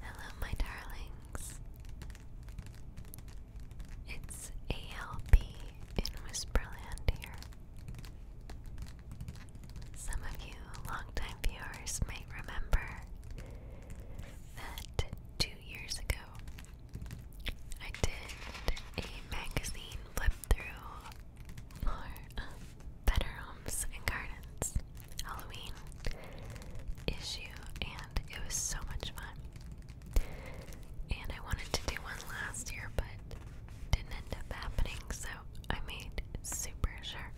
Hello, my darlings. It's ALP in Whisperland here. Some of you longtime viewers might remember that two years ago I did a magazine flip through for uh, Better Homes and Gardens. Halloween issue, and it was so much fun. And I wanted to do one last year, but didn't end up happening, so I made super sure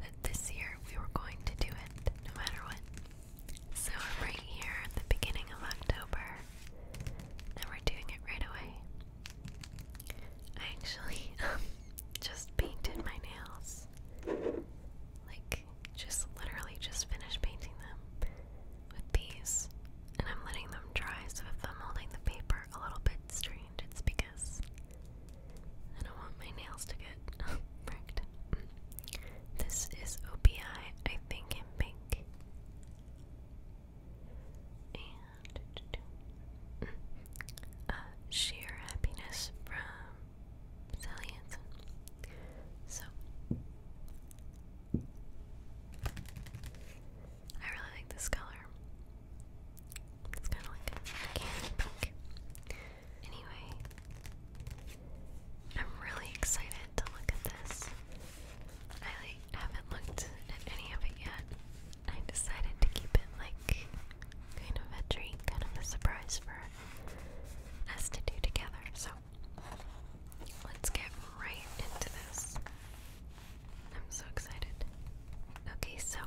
that this year we were going to do it no matter what. So we're right here at the beginning of October, and we're doing it right away. I actually um, just painted my nails. Like, just literally just finished painting them with these. And I'm letting them dry, so if I'm holding the paper a little bit strained, it's because I don't want my nails to get wrecked. This is OPI, I think, in pink. And. Mm, sheer happiness from Sally So I really like this color. It's kind of like a candy pink. Anyway, I'm really excited to look at this. I haven't looked at any of it yet. I decided to keep it like kind of a treat, kind of a surprise for us to do together. So let's get right into this. I'm so excited. Okay, so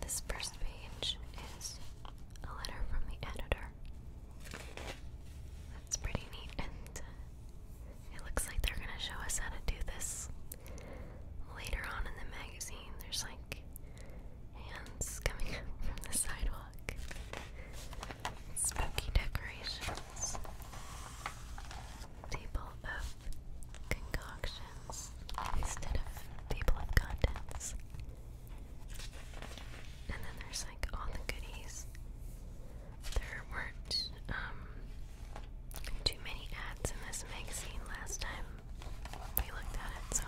this first page is a letter from the editor. That's pretty neat, and it looks like they're gonna show us how to do this later on in the there's like hands coming from the sidewalk. Spooky decorations. Table of concoctions instead of table of contents. And then there's like all the goodies. There weren't um, too many ads in this magazine last time we looked at it, so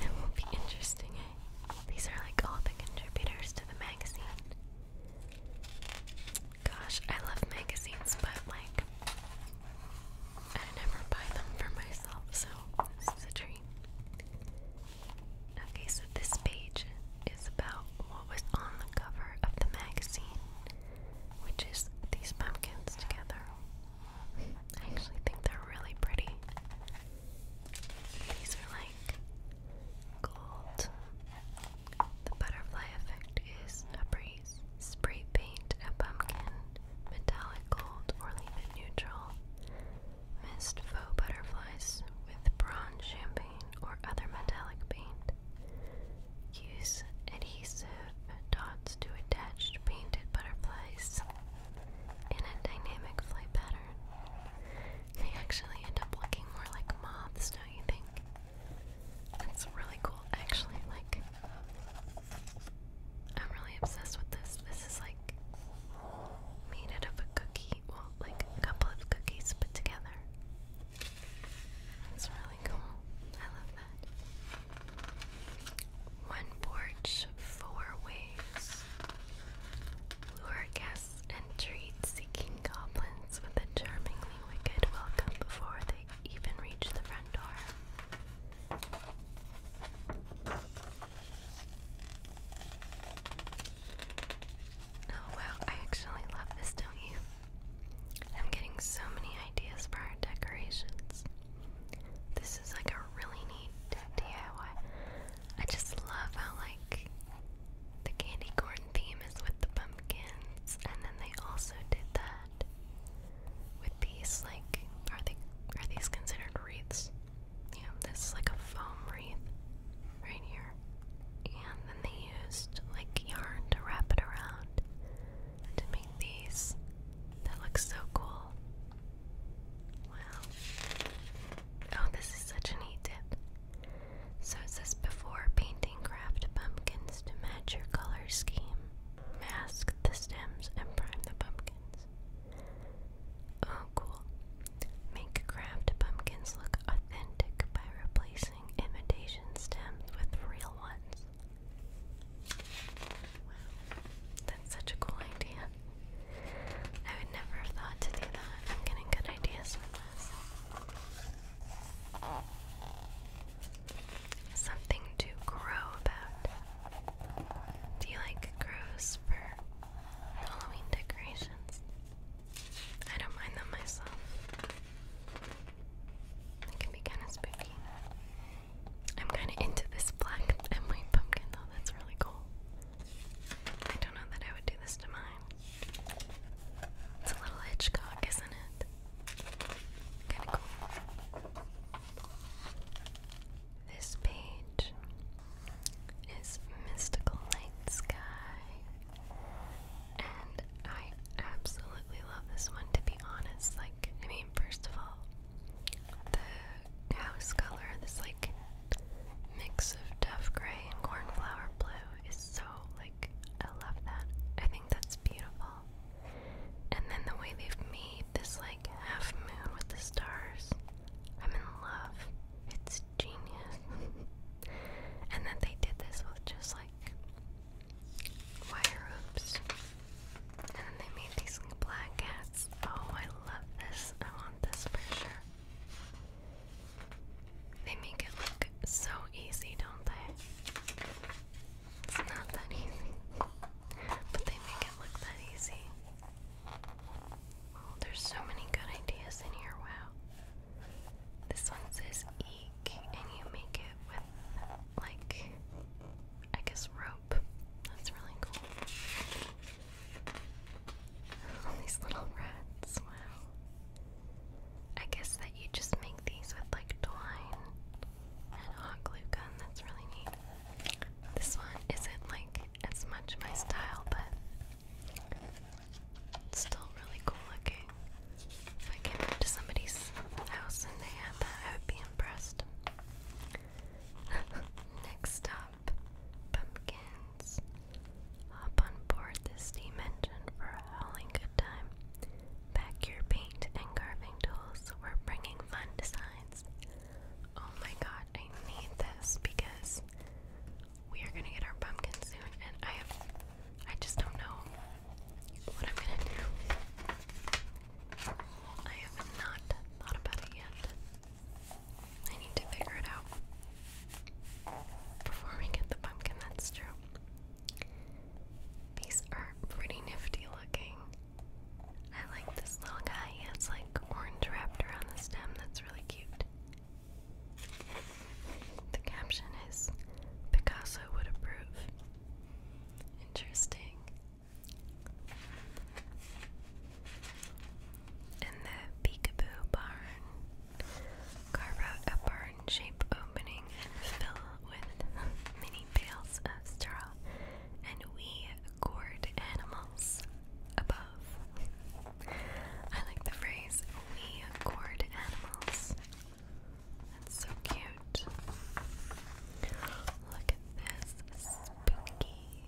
it will be interesting, eh? These are like all the contributors to the magazine. Gosh, I love magazines, but like, I never buy them for myself, so this is a dream. Okay, so this page is about what was on the cover of the magazine which is these pumpkins together. I actually think they're really pretty. These are like gold. The butterfly effect is a breeze. Spray paint a pumpkin, metallic gold, or leave neutral. Mist faux butterflies with bronze champagne or other metallic paint. Use adhesive dots to attach painted butterflies in a dynamic flight pattern. They actually end up looking more like moths, don't you think? That's really cool, actually. Like, I'm really obsessed with this. This is like made out of a cookie, well, like a couple of cookies put together. It's really cool. I love that. One porch, four ways. Lure guests and treat seeking goblins with a charmingly wicked welcome before they even reach the front door. Oh wow, I actually love this, don't you? I'm getting so many ideas for our decorations. This is like a really neat DIY. I just love how like the candy corn theme is with the pumpkins, and then they also did that with these like are they are these considered wreaths? Yeah, this is like a foam wreath right here. And then they used like yarn to wrap it around to make these that look so cool. Wow. Oh, this is such a neat tip. So it says before painting, craft pumpkins to match your color scheme. Mask the stems and prime the pumpkins. Oh, cool. Make craft pumpkins look authentic by replacing imitation stems with real ones that's such a cool idea. I would never have thought to do that. I'm getting good ideas from this. Something to grow about. Do you like grows for Halloween decorations? I don't mind them myself. It can be kind of spooky. I'm kind of into this black and white pumpkin though, that's really cool. I don't know that I would do this to mine. It's a little Hitchcock, isn't it? Kind of cool. This page is Mystical Night Sky. And I absolutely love this one, to be honest. I mean, first of all, the house color, this like mix of tough gray and cornflower blue, is so like, I love that. I think that's beautiful. And then the way they've made this like half moon with the stars, I'm in love. It's genius. and then they did this with just like wire hoops. And they made these black cats. Oh, I love this. I want this for sure. They make it look so easy, don't they? It's not that easy, but they make it look that easy. Oh, there's so many good ideas in here. Wow. This one says eek, and you make it with like, I guess, rope. That's really cool. these little rats, wow. I guess that you just make these with like twine and hot glue gun. That's really neat. This one isn't like as much my style, but still really cool looking. If I came out somebody's house and they had that, I would be impressed. Next up, pumpkins. Hop on board the steam engine for a howling good time. Pack your paint and carving tools. We're bringing fun designs. Oh my god, I need this because we are gonna get our pumpkin soon, and I have I just don't know what I'm gonna do. I have not thought about it yet. I need to figure it out before we get the pumpkin, that's true. These are pretty nifty looking. I like this little guy. He has like orange wrapped around the stem. That's really cute. The caption is Picasso would approve. Interesting. In the peekaboo barn, carve out a barn shape opening and fill with many bales of straw and we gourd animals above. I like the phrase we gourd animals. That's so cute. Look at this spooky.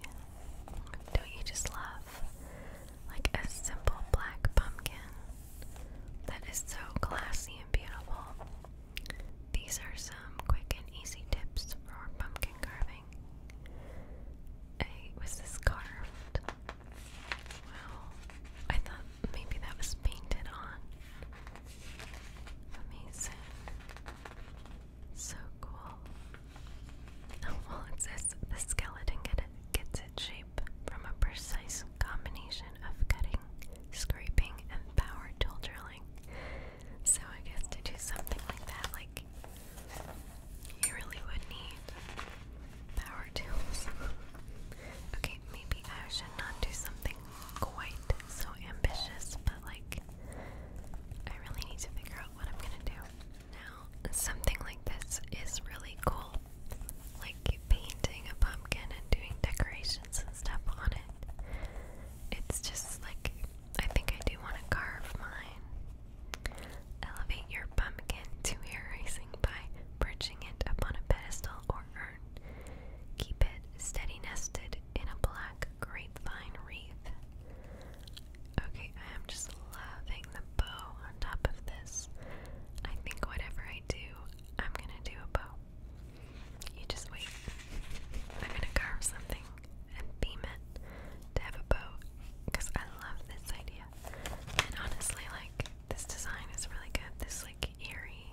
Don't you just love like a simple black pumpkin? That is so classy and beautiful. These are some quick and easy tips for pumpkin carving. was this carved? Wow. I thought maybe that was painted on. Amazing. So cool. Oh, well, it the skeleton gets its shape from a precise combination of cutting, scraping, and power tool drilling. So I guess to do something like that, like you really would need power tools. okay, maybe I should not do something quite so ambitious, but like, I really need to figure out what I'm gonna do. Now, something like this is really cool. Like painting a pumpkin and doing decorations and stuff on it. It's just like, I think I do want to carve mine. Elevate your pumpkin to erasing by perching it upon a pedestal or Keep it steady nested in a black grapevine wreath. Okay, I am just loving the bow on top of this. I think whatever I do, I'm gonna do a bow. You just wait. I'm gonna carve something and beam it to have a bow because I love this idea. And honestly, like, this design is really good. This, like, eerie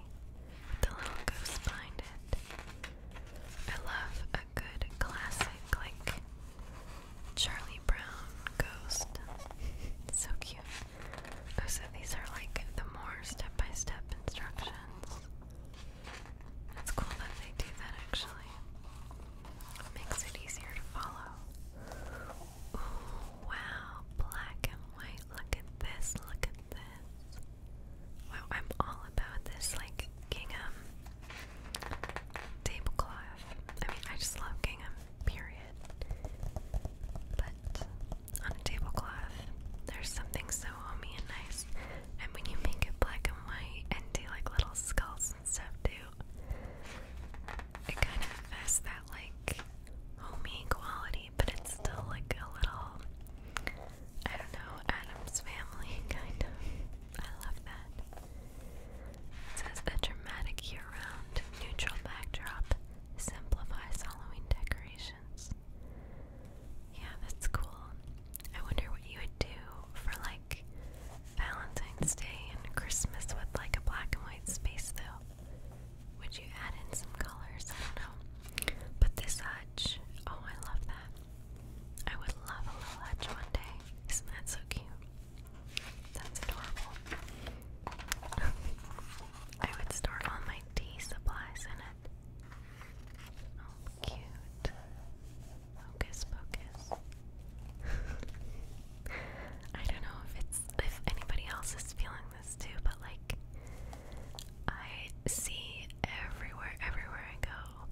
the little ghost behind it. I love a good classic like Charlie Brown ghost. so cute. Oh, so these are like the more step by step instructions. It's cool that they do that actually. makes it easier to follow. wow, black and white. Look at this, look at this. Wow, I'm all about this like gingham tablecloth. I mean, I just love gingham, period. But on a tablecloth, there's something so homey and nice. And when you make it black and white and do like little skulls and stuff too, it kind of has that like homey quality but it's still like a little, I don't know, Adam's family kind of. I love that. says a dramatic year round neutral backdrop simplifies Halloween decorations. Yeah, that's cool. I wonder what you would do for like Valentine's Day and Christmas with like a black and white space though. Would you add in some colors? I don't know. But this hutch, oh, I love that. I would love a little hutch one day. Isn't that so cute? That's adorable. I would store all my tea supplies in it. Oh, cute. Focus, focus. I don't know if it's if anybody else is feeling along this too, but like I see everywhere, everywhere I go,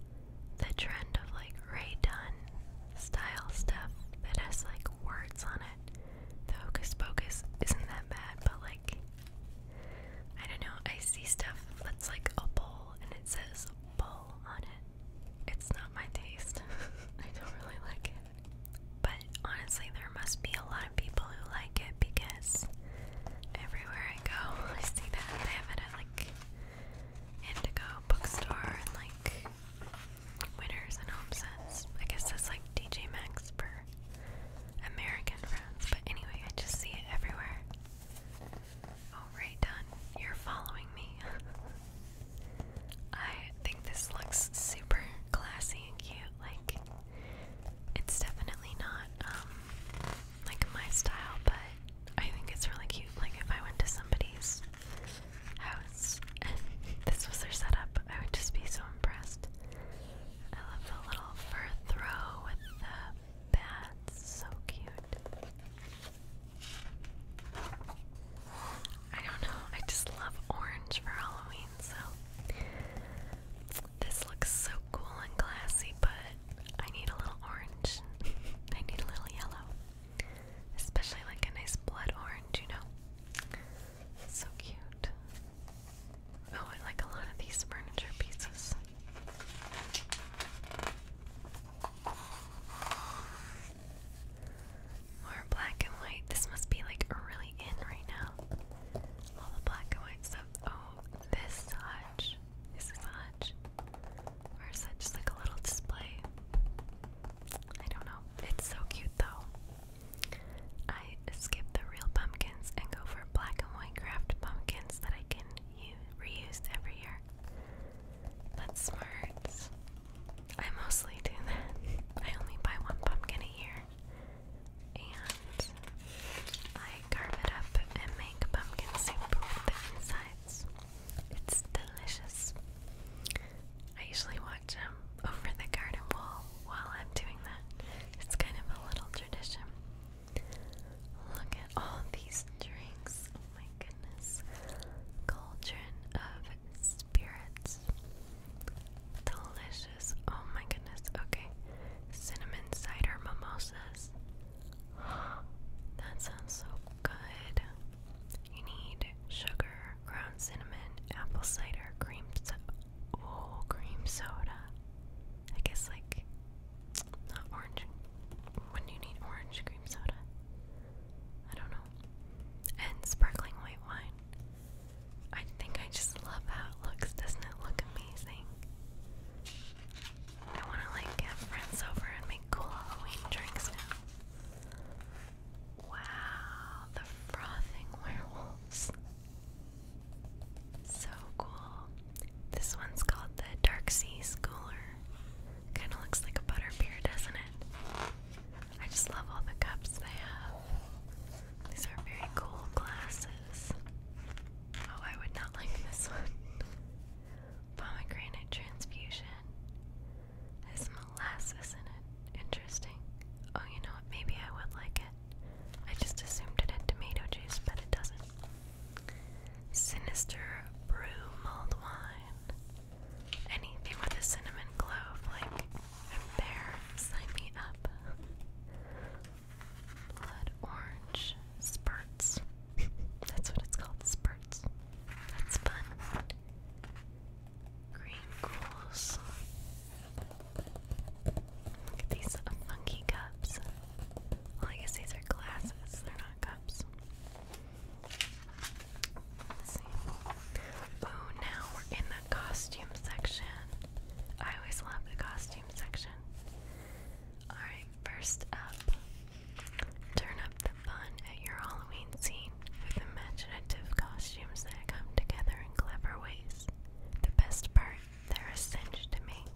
the trend of like Ray Dunn style stuff that has like words on it. The Hocus Pocus isn't that bad, but like I don't know, I see stuff that's like a bowl and it says bowl on it. It's not my taste. I don't really like it. But honestly, there must be a lot of people who like it because everywhere I go, I see that they have it at like Indigo Bookstore and like Winners and Home I guess that's like DJ Maxx for American friends, but anyway, I just see it everywhere. Oh, right, done. You're following me. I think this looks super classy and cute. Like, it's definitely not um, like my style, but I think it's really cute. Like, if I went to somebody's house and this was their setup, I would just be so impressed. I love the little fur throw with the bats, so cute. I don't know, I just love orange for Halloween, so this looks so cool and classy, but I need a little orange. I need a little yellow. Especially like a nice blood orange, you know? So cute. Oh, I like a lot of these furniture pieces. More black and white. This must be like really in right now. All the black and white stuff. Oh, this Hutch, this is or is that just like a little display? I don't know. It's so cute though. I skip the real pumpkins and go for black and white craft pumpkins that I can use, reuse every year. That's smart. I mostly do that. I only buy one pumpkin a year and I carve it up and make pumpkin soup with the insides. It's delicious. I usually watch them um, over the garden wall while I'm doing that. It's kind of a little tradition. Look at all these drinks. Oh my goodness. Cauldron of spirits. Delicious. Oh my goodness. Okay. Cinnamon cider mimosas. That sounds so good. You need sugar, ground cinnamon, apple cider, cream so oh, cream soda. I guess like not orange. When do you need orange cream soda? I don't know. And sparkling white wine. I think I just love how it looks. Doesn't it look amazing? I want to like have friends over and make cool Halloween drinks now. Wow, the frothing werewolves. So cool. This one's called the Dark Sea Schooler. Kind of looks like a butterbeer, doesn't it? I just love all the cups they have. These are very cool glasses. Oh, I would not like this one. Pomegranate transfusion. There's molasses in it. Interesting. Oh, you know what? Maybe I would like it. I just assumed it had tomato juice, but it doesn't. Sinister brew mulled wine. Anything with a cinnamon clove, like, I'm me up blood orange spurts. That's what it's called, spurts. That's fun. Green ghouls. Look at these funky cups. Well, I guess these are glasses, they're not cups. Oh, now we're in the costume section. I always love the costume section. Alright, first up, turn up the fun at your Halloween scene with imaginative costumes that come together in clever ways. The best part, they're a cinch to make.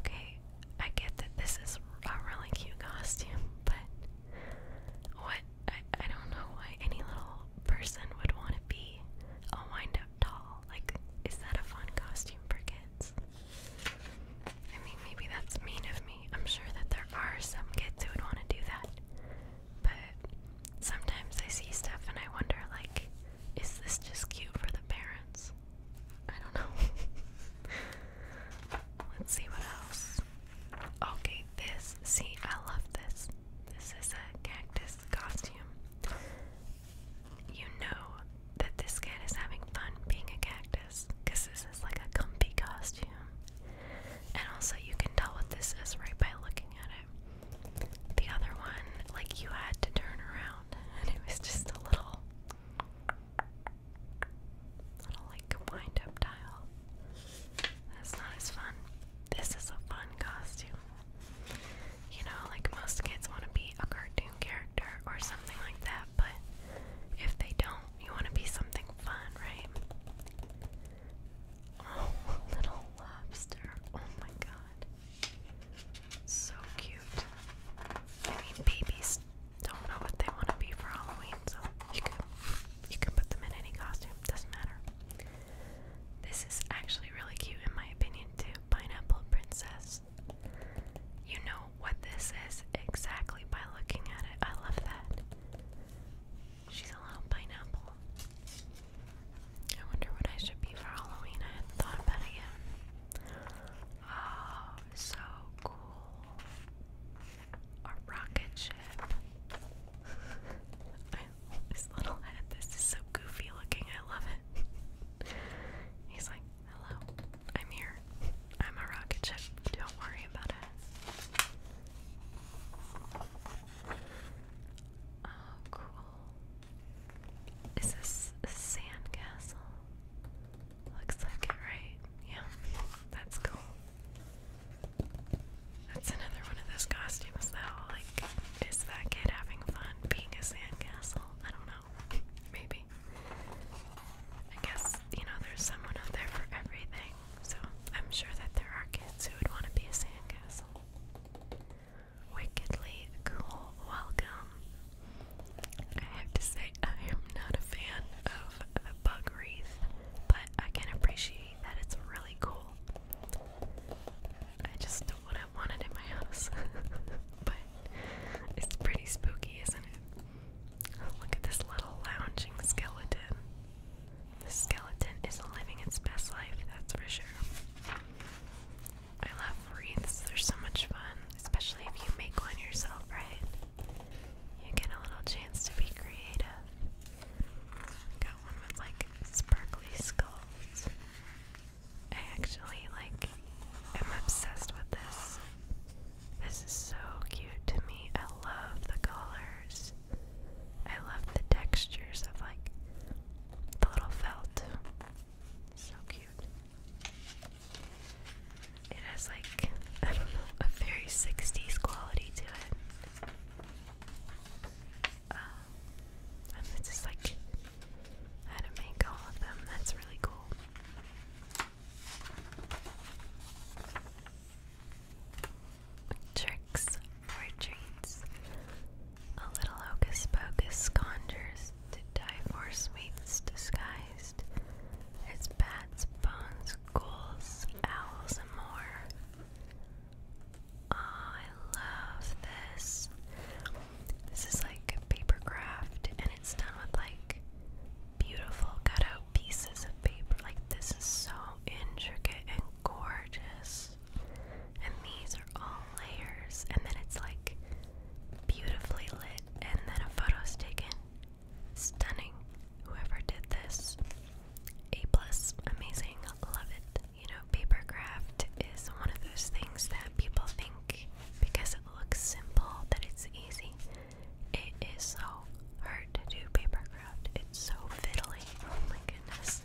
Okay, I get that this is a really cute costume, but what? I, don't know why any little person would want to be a wind up doll. Like, is that a fun costume for kids? I mean, maybe that's mean of me. I'm sure that there are some kids who would want to do that. But sometimes I see stuff and I wonder, like, is this just cute for the parents? I don't know. Let's see what else. Okay, this. See, I love this. This is a cactus costume. You know that this cat is having fun being a cactus because this is like a comfy costume. And also, you can tell what this is right by looking at it. The other one, like, you had to turn around, and it was just a little. Little like wind dial. That's not as fun. This is a fun costume. You know, like most kids want to be a cartoon character or something like that, but if they don't, you want to be something fun, right? Oh, little lobster. Oh my god. So cute. I mean, babies don't know what they want to be for Halloween, so you can put them in any costume, doesn't matter. This is actually really cute, in my opinion, too. Pineapple Princess. You know what this is exactly by looking at it. I love that. She's a little pineapple. I wonder what I should be for Halloween. I thought about it yet. Oh, so cool a rocket ship. I little head. This is so goofy looking. I love it. He's like, hello, I'm here. I'm a rocket ship. Don't worry about it. Oh, cool. Is this a sandcastle? Looks like it, right? Yeah, that's cool. That's another one of those costumes, though. Like, is that kid having fun being a sandcastle? I don't know. Maybe. I guess, you know, there's someone out there for everything. So I'm sure that there are kids who would want to be a sandcastle. Wickedly cool welcome. I have to say, I am not a fan of bug wreath, but I can appreciate that it's really cool. I just don't what I in my house, but it's pretty spooky, isn't it? look at this little lounging skeleton. The skeleton is living its best life, that's for sure. I love wreaths, they're so much fun, especially if you make one yourself, right? You get a little chance to be creative. Got one with like sparkly skulls. I actually like am obsessed with this. This is so cute to me. I love the colors. I love the textures of like the little felt. So cute. It has like I don't know a very 60s quality to it. Um, and it's just like how to make all of them. That's really cool. Tricks or treats. A little hocus pocus conjures to die for sweets disguised. It's bats, bones, ghouls, owls, and more. I love this. This is like paper craft and it's done with like beautiful cutout pieces of paper. Like this is so intricate and gorgeous. And these are all layers and then it's like beautifully lit and then a photo's taken. Stunning whoever did this. A plus, amazing, love it. You know, paper craft is one of those things that people think because it looks simple that it's easy. It is so hard to do paper craft. It's so fiddly. Oh my goodness.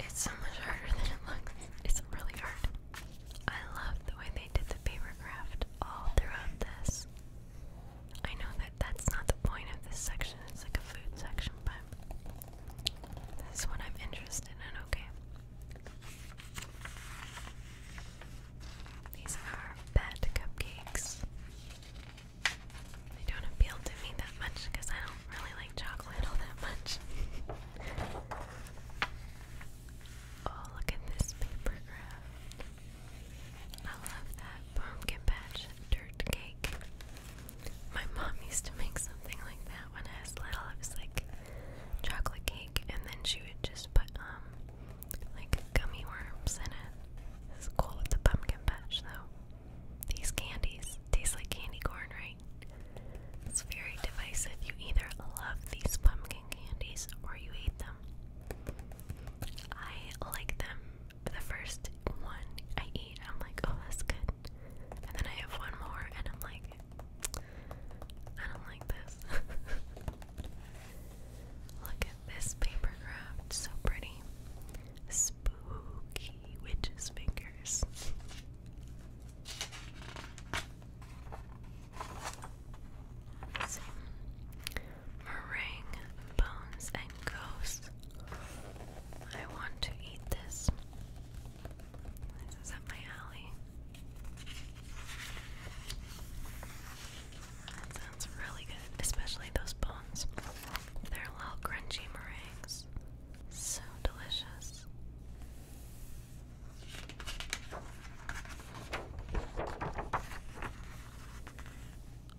It's so much harder than it looks. It's really hard. I love the way they did the paper craft all throughout this. I know that that's not the point of this section, it's like a food section, but this is what I'm interested in, okay? These are bad cupcakes. They don't appeal to me that much because I don't really like chocolate all that much. oh, look at this paper graph. I love that pumpkin patch dirt cake. My mom used to make something like that when I was little. It was like chocolate cake, and then she would just put um like gummy worms in it. It's cool with the pumpkin patch though. These candies taste like candy corn, right? It's very divisive. You either love these pumpkin candies or you hate them. I like them the first one I eat, I'm like, oh, that's good. And then I have one more, and I'm like, I don't like this. Look at this paper craft, so pretty. Spooky witch's fingers meringue, bones, and ghosts. I want to eat this. This is up my alley. That sounds really good, especially those bones. They're little crunchy meringues. So delicious.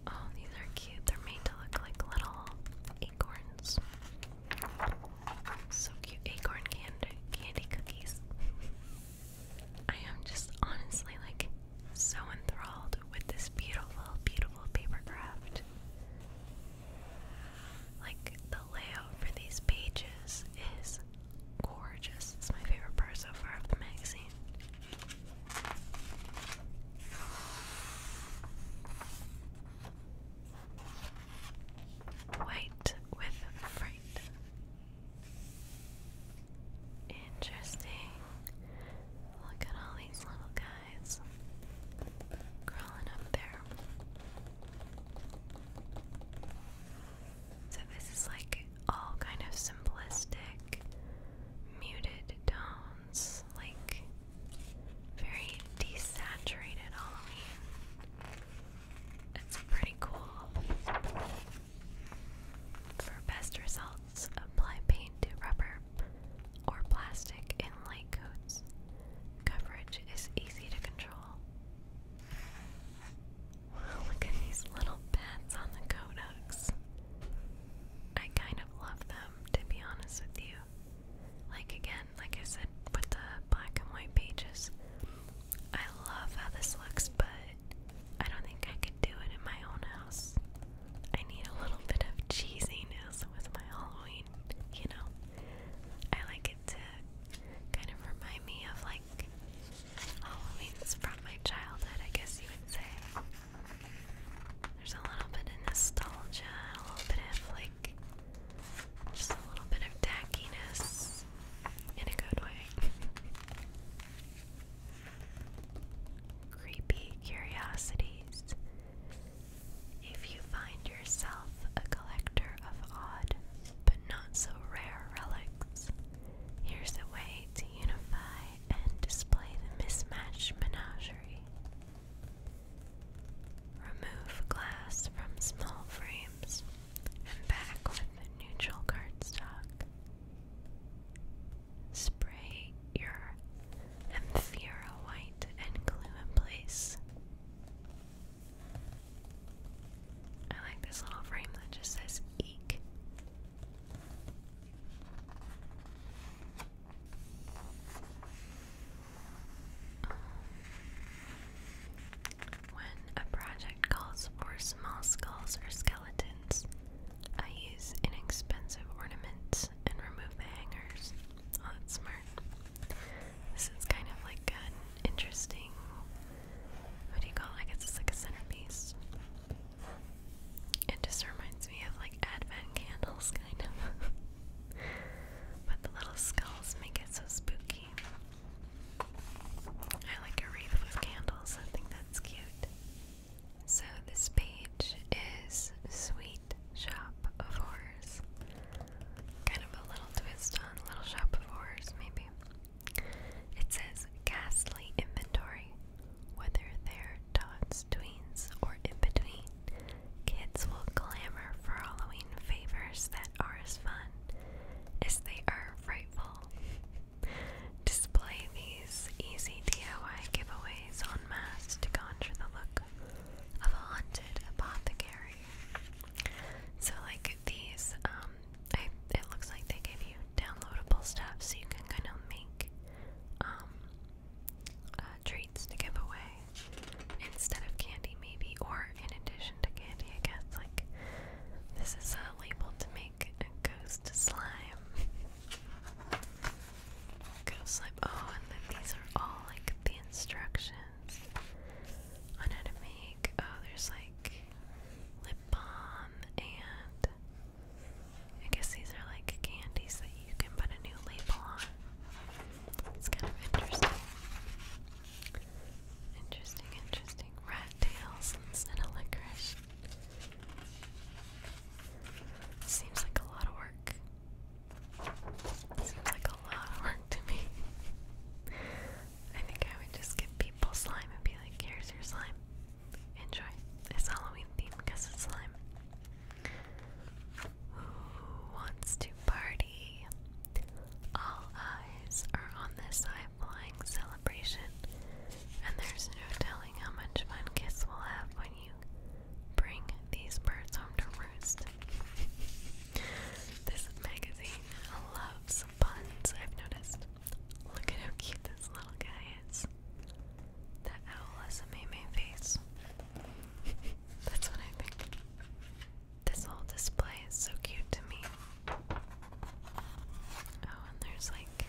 Oh, these are cute. They're made to look like little acorns. So cute. Acorn candy, candy cookies. I am just honestly like so enthralled with this beautiful, beautiful paper craft. Like the layout for these pages is gorgeous. It's my favorite part so far of the magazine. White with fright. Interesting. Look at all these little guys crawling up there. So this is like all kind of simplistic muted tones, like very desaturated Halloween. It's pretty cool. For best results, apply paint to rubber or plastic in light coats. Coverage is easy to control. Look at these little pads on the codex. I kind of love them, to be honest with you. Like, again, like I said with the black and white pages, I love how this looks, but I don't think I could do it in my own house. I need a little bit of cheesiness with my Halloween, you know? I like it to kind of remind me of like Halloween's from my childhood, I guess you would say. There's a little bit of nostalgia, a little bit of like just a little bit of tackiness in a good way. Creepy curiosities. If you find yourself a collector of odd but not so rare relics, here's a way to unify and display the mismatched menagerie. Remove glass from small frames and back with neutral cardstock. Spray your Amphira white and glue in place. I like this little frame that just says eek. Um, when a project calls for small skulls or skeletons, I use inexpensive ornaments and remove the hangers. Oh, that's smart. This is kind of like an interesting. What do you call it? I like a centerpiece. It just reminds me of like advent candles, kind of. but the little skulls make it so spooky. I like a wreath with candles, I think that's cute. So, this page is Sweet Shop of Horrors. Kind of a little twist on Little Shop of Horrors, maybe. It says Ghastly Inventory. Whether they're tots, tweens, or in between, kids will clamor for Halloween favors that are as fun as they are frightful. Display these easy DIY giveaways en masse to conjure the look of a haunted apothecary. So, like these, um, I, it looks like they give you downloadable stuff so you can kind of make um, uh, treats to give away instead of candy, maybe, or in addition to candy, I guess. Like, this is a label to make a ghost slime. Ghost slime. Oh, and then these are all like the instructions on how to make. Oh, there's like lip balm and I guess these are like candies that you can put a new label on. It's kind of interesting. Interesting, interesting. Rat tails instead of licorice. Seems like a lot of work. Seems like a lot of work to me. I think I would just give people slime and be like, here's your slime enjoy. It's Halloween theme, because it's slime. Who wants to party? All eyes are on this high flying celebration, and there's no telling how much fun kids will have when you bring these birds home to roost. this magazine loves puns, I've noticed. Look at how cute this little guy is. That owl has a meme face. That's what I think. This whole display is so cute to me. Oh, and there's like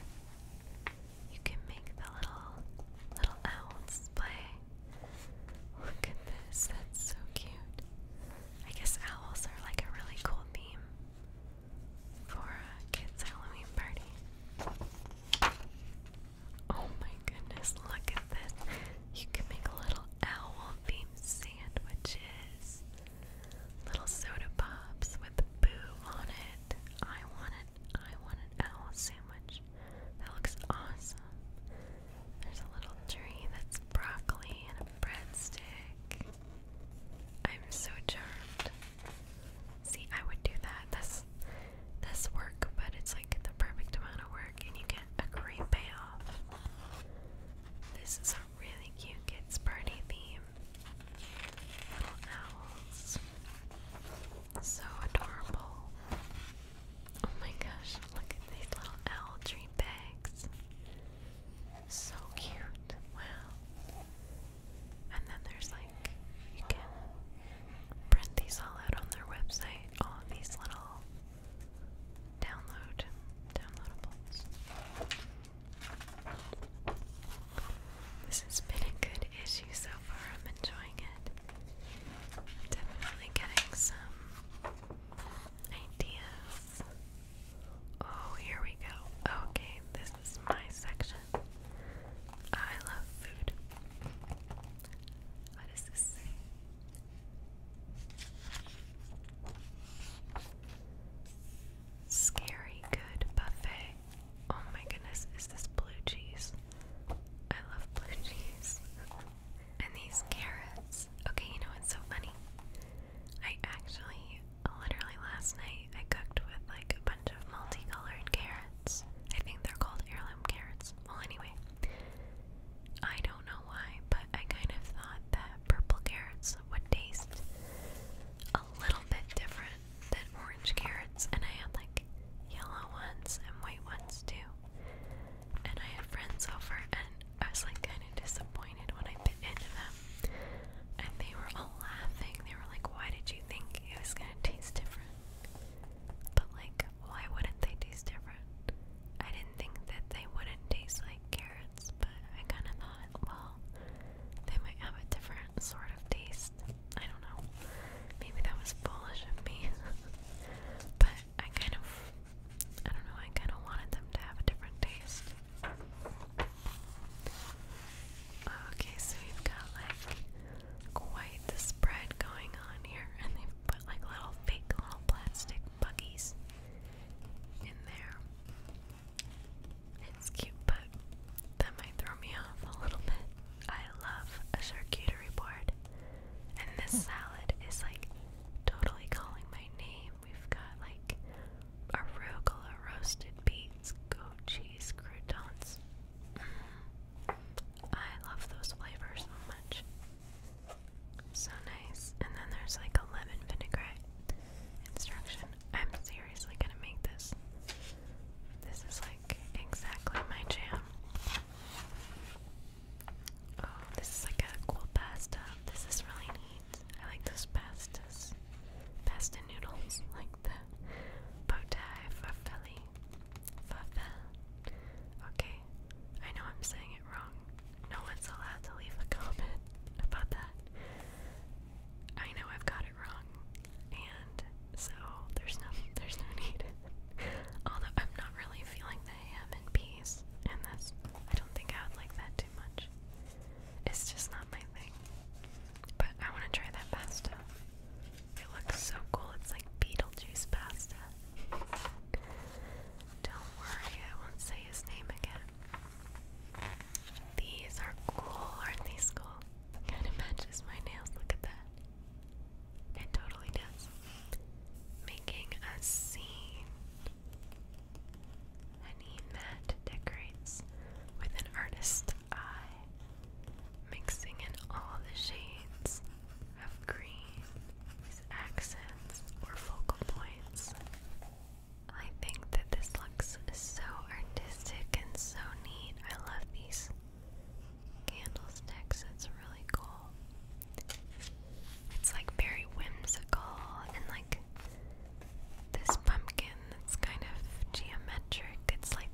you can make the little little owls play. Look at this, that's so cute. I guess owls are like a really cool theme for a kid's Halloween party. Oh my goodness, look at this. You can make little owl themed sandwiches. Little soda pops with boo on it. I want it. I want an owl sandwich. That looks awesome. There's a little tree that's broccoli and a breadstick. I'm so charmed. See, I would do that. This, this work, but it's like the perfect amount of work, and you get a great payoff. This is a really cute kids' party theme. Little owls, so adorable. Oh my gosh! Look at these little owl tree bags. So cute. Wow. And then there's like, you can print these all out on their website, all of these little download, downloadables. This has been a good issue so far. I'm enjoying it. I'm definitely getting some ideas. Oh, here we go. Okay, this is my section. I love food. What does this say? Scary good buffet. Oh my goodness, is this blue cheese? I love blue cheese. and these carrots. Okay, you know what's so funny? I actually, literally last night, I cooked with like a of multicolored carrots. I think they're called heirloom carrots. Well, anyway, I don't know why, but I kind of thought that purple carrots would taste a little bit different than orange carrots, and I had like yellow ones and white ones too. And I had friends over, and I was like kind of disappointed when I bit into them. And they were all laughing. They were like, Why did you think it was gonna taste different? But like, why wouldn't they taste different? I didn't think that they wouldn't taste like carrots, but I kind of thought, well, they might have a different sort of taste. I don't know. Maybe that was foolish of me. but I kind of, I don't know, I kind of wanted them to have a different taste. Okay, so you've got like quite the spread going on here, and they put like little fake little plastic buggies in there. It's cute, but that might throw me off a little bit. I love a charcuterie board, and this salad is like totally calling my name. We've got like arugula, roasted beets, goat cheese, croutons, I love those flavors so much. So nice. And then there's like a lemon vinaigrette instruction. I'm seriously gonna make this. This is like exactly my jam. Oh, this is like a cool pasta. This is really neat. I like those pastas. Pasta noodles, like the bow tie Okay, I know I'm saying it wrong. No one's allowed to leave a comment about that. I know I've got it wrong, and so there's no there's no need. Although I'm not really feeling the ham and peas, and I don't think I would like that too much. It's just not my thing. But I want to try that pasta. It looks so cool. It's like Beetlejuice pasta. Don't worry, I won't say his name again. These are cool, aren't these cool? Kind of matches my nails. Look at that. It totally does. Making a scene. I need that decorates with an artist's eye mixing in all the shades of green as accents or focal points. I think that this looks so artistic and so neat. I love these candlesticks, it's really cool. It's like very whimsical and like this pumpkin that's kind of geometric. It's like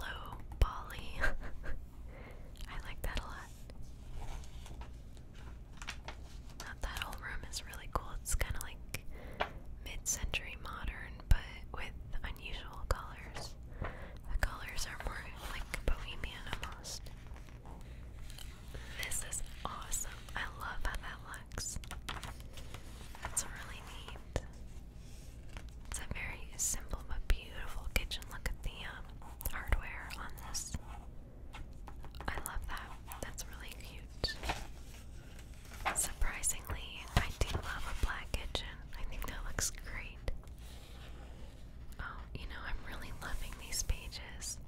Low Polly. I like that a lot. Now, that whole room is really cool. It's kind of like mid-century modern, but with unusual colors. The colors are more like bohemian almost. This is awesome. I love how that looks. That's really neat. It's a very simple but beautiful kitchen. Look at the um, hardware on this. I love that. That's really cute. Surprisingly, I do love a black kitchen. I think that looks great. Oh, you know, I'm really loving these pages.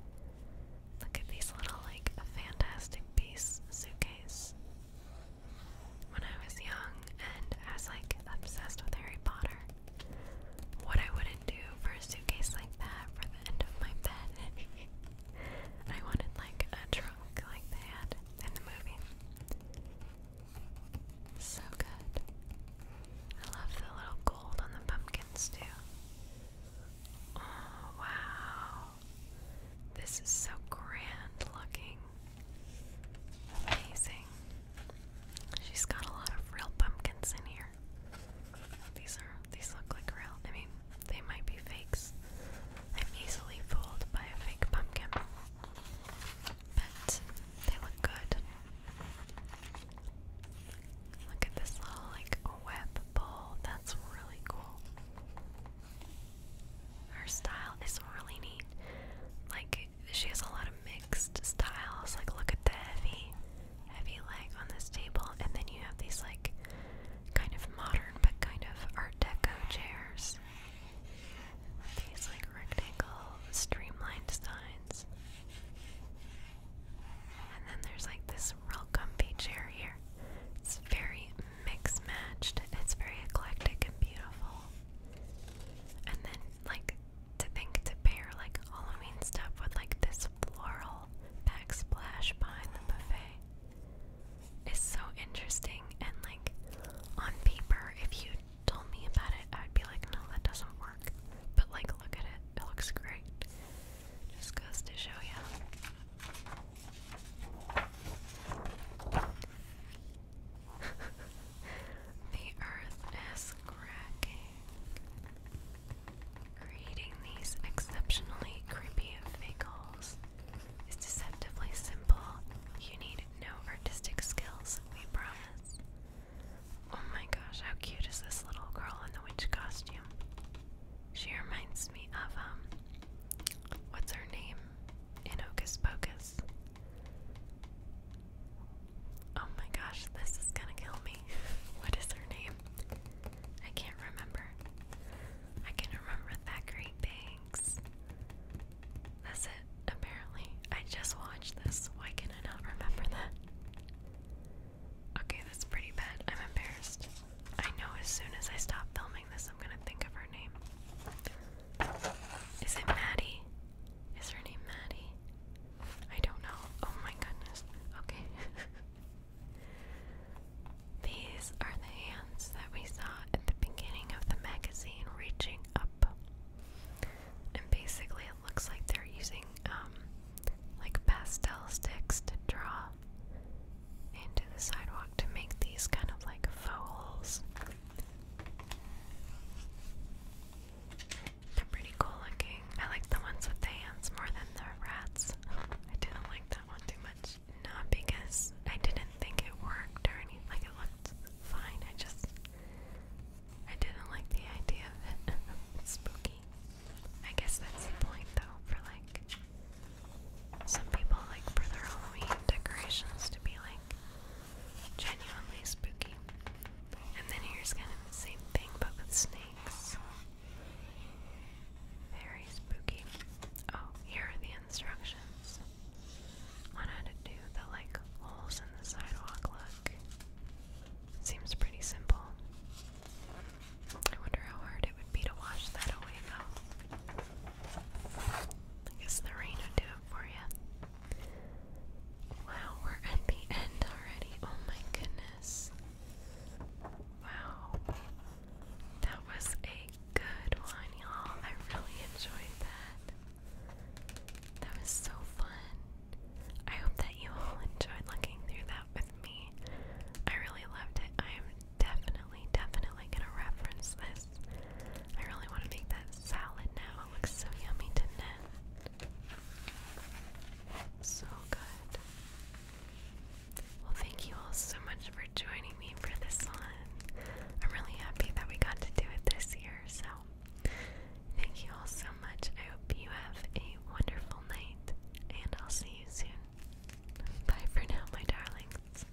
Look at these little, like, a fantastic piece suitcase when I was young and was like obsessed with Harry Potter. What I wouldn't do for a suitcase like that for the end of my bed. I wanted like a trunk like they had in the movie. So good. I love the little gold on the pumpkins too. Oh, wow. This is so grand looking. Amazing. She's got a lot of real pumpkins in here. These are these look like real. I mean, they might be fakes. I'm easily fooled by a fake pumpkin. But they look good. Look at this little like web bowl. That's really cool. Her style is really neat. Like she has a lot of mixed styles. Like look at the heavy, heavy leg on this table, and then you have these like kind of modern but kind of art deco chairs. These like rectangle, streamlined designs. And then there's like this real comfy chair here. It's very mix matched. It's very eclectic and beautiful. And then like to think to pair like Halloween stuff with like this floral backsplash behind the buffet is so interesting and like on paper if you told me about it I'd be like no that doesn't work. But like look at it. It looks great. Just goes to show you. the earth is cracking. Creating these exceptionally creepy vehicles is deceptively simple. You need no artistic skills, we promise. Oh my gosh, how cute is this little girl in the witch costume? She reminds me of, um, what's her name? In Hocus Pocus. Oh my gosh, this is gonna kill me. what is her name? I can't remember. I can remember Thackeray Banks. That's it, apparently. I just watched this. Why can I not remember that? Okay, that's pretty bad. I'm embarrassed. I know as soon as I stop filming this, I'm gonna think of her name. Is it Maddie? Is her name Maddie? I don't know. Oh my goodness. Okay. These are the hands that we saw at the beginning of the magazine reaching up. And basically, it looks like they're using um, like pastel sticks to draw into the sidewalk to make these kind of like fouls. They're pretty cool looking. I like the ones with the hands more than the rats. I didn't like that one too much. Not because I didn't think it worked or anything. Like it looked fine. I just I didn't like the idea of it. spooky. I guess that's the point though for like some people like for their Halloween decorations to be like Genuinely spooky. And then here's kind of the same thing but with snakes. Very spooky. Oh, here are the instructions. On how to do the like holes in the sidewalk look. Seems pretty simple. I wonder how hard it would be to wash that away though. I guess the rain would do it for you. Wow, we're at the end already. Oh my goodness. Wow. That was a good one, y'all. I really enjoyed that. That was so fun. I hope that you all enjoyed looking through that with me. I really loved it. I am definitely, definitely going to reference this I really want to make that salad now. It looks so yummy, didn't it? So good. Well, thank you all so much for joining me for this one. I'm really happy that we got to do it this year, so thank you all so much. I hope you have a wonderful night, and I'll see you soon. Bye for now, my darlings.